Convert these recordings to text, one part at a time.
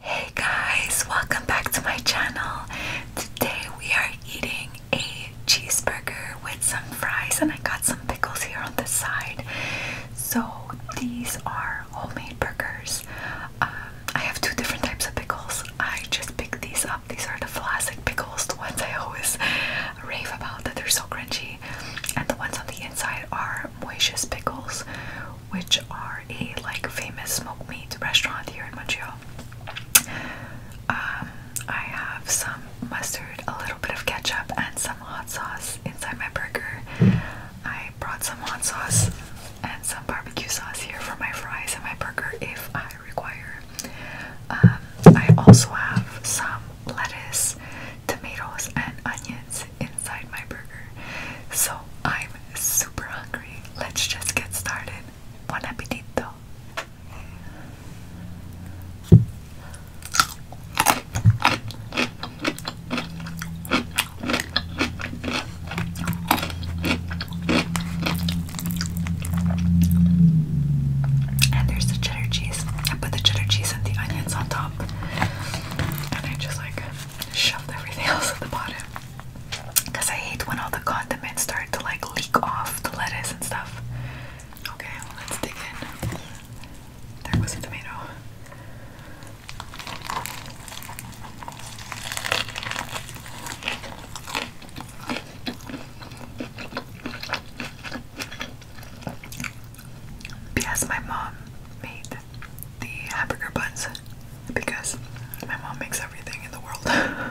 Hey guys, welcome back to my channel. Today we are eating a cheeseburger with some fries and I got some pickles here on the side. So these are homemade burgers. Um, I have two different types of pickles. I just picked these up. These are the classic pickles, the ones I always rave about that they're so crunchy. And the ones on the inside are are Pickles, which are a like famous smoked meat restaurant here in Montreal. Um, I have some mustard, a little bit of ketchup, and some hot sauce inside my burger. I brought some hot sauce and some barbecue sauce here for my fries and my burger if I require. Um, I also have some lettuce, tomatoes, and onions inside my burger. So I'm super hungry. Let's just get started. Bon appetito! And there's the cheddar cheese. I put the cheddar cheese and the onions on top and I just like shoved everything else at the bottom because I hate when all the condiments start to like leak off the lettuce and stuff. Okay, let's dig in. There was a tomato. Yes, my mom made the hamburger buns because my mom makes everything in the world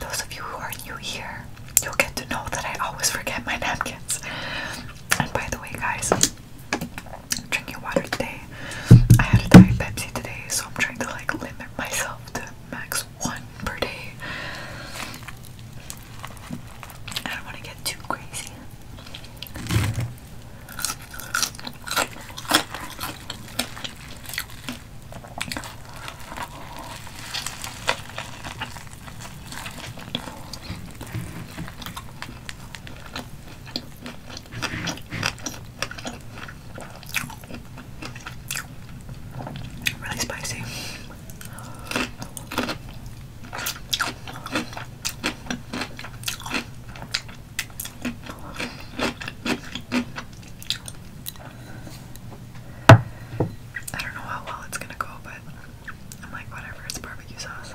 those of you who are new here, you'll get to know that I always forget my napkins. And by the way, guys, drinking water today. I had a diet Pepsi today, so I'm trying to like limit myself to max one per day. I don't want to get too crazy. Really spicy. I don't know how well it's gonna go, but I'm like, whatever, it's barbecue sauce.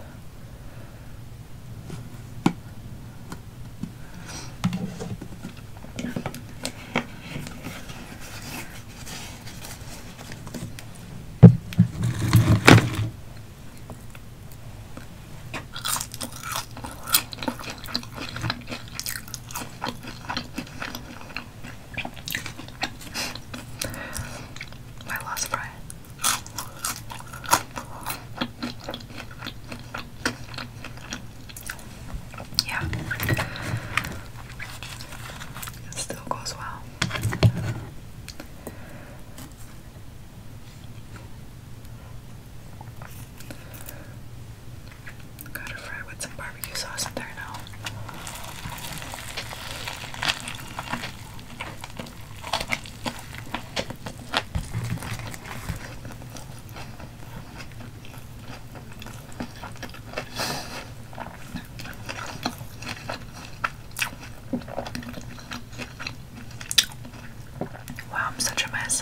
My lost friend. Yeah. It still goes well. Gotta fry with some barbecue sauce in there now. Wow, I'm such a mess.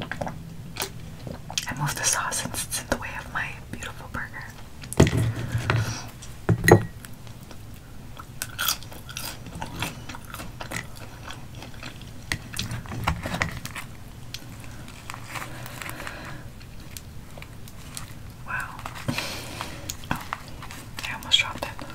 I moved the sauce since it's in the way of my beautiful burger. Wow. Oh, I almost dropped it.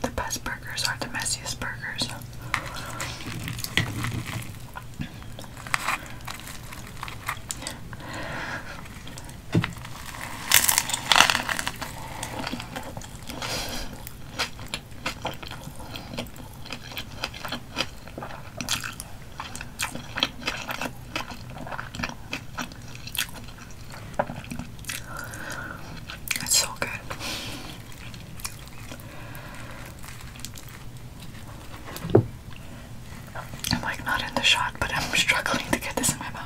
The best burgers are the messiest burgers. It's so good. I'm like not in the shot, but I'm struggling to get this in my mouth.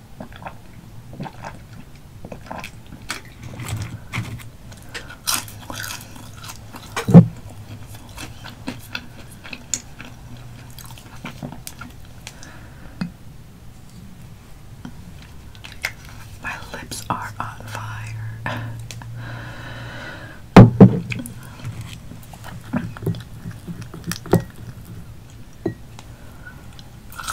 My lips are on fire.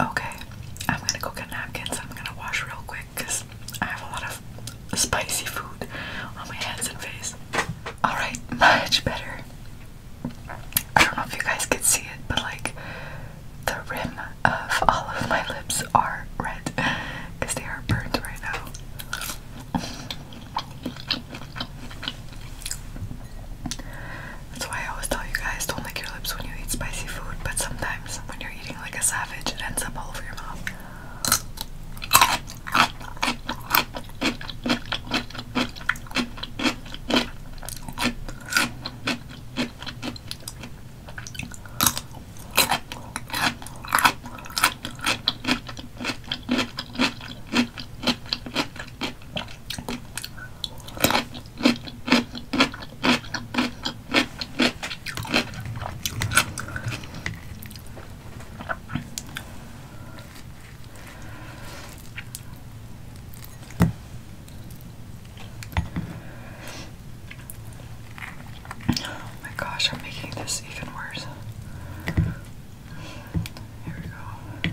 Okay, I'm gonna go get napkins. I'm gonna wash real quick because I have a lot of spicy food on my hands and face. Alright, much better. I don't know if you guys can see it, but like the rim of all of my lips are red because they are burnt right now. That's why I always tell you guys don't lick your lips when you eat spicy food, but sometimes when you're eating like a savage, it ends up all over your mouth. Oh my gosh, I'm making this even worse. Here we go.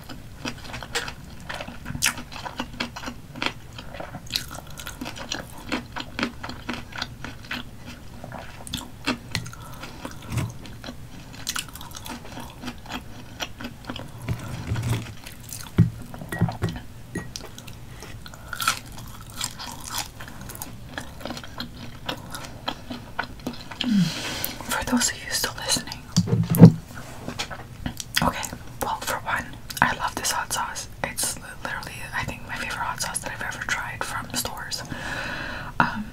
For those of you still listening, Okay, well, for one, I love this hot sauce. It's literally, I think, my favorite hot sauce that I've ever tried from stores. Um,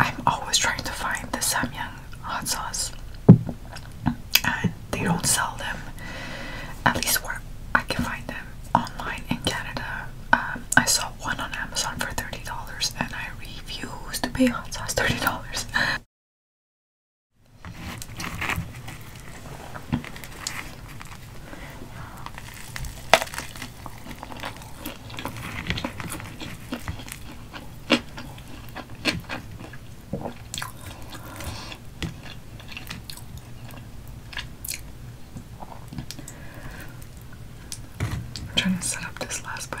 I'm always trying to find the Samyang hot sauce, and they don't sell them, at least where I can find them, online in Canada. Um, I saw one on Amazon for $30, and I re refuse to pay hot sauce $30. I'm trying to set up this last bite.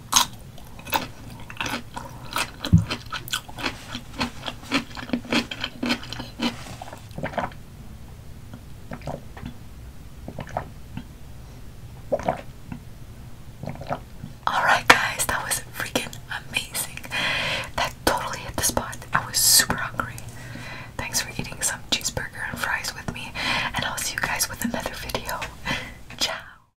Alright, guys, that was freaking amazing. That totally hit the spot. I was super hungry. Thanks for eating some cheeseburger and fries with me, and I'll see you guys with another video. Ciao!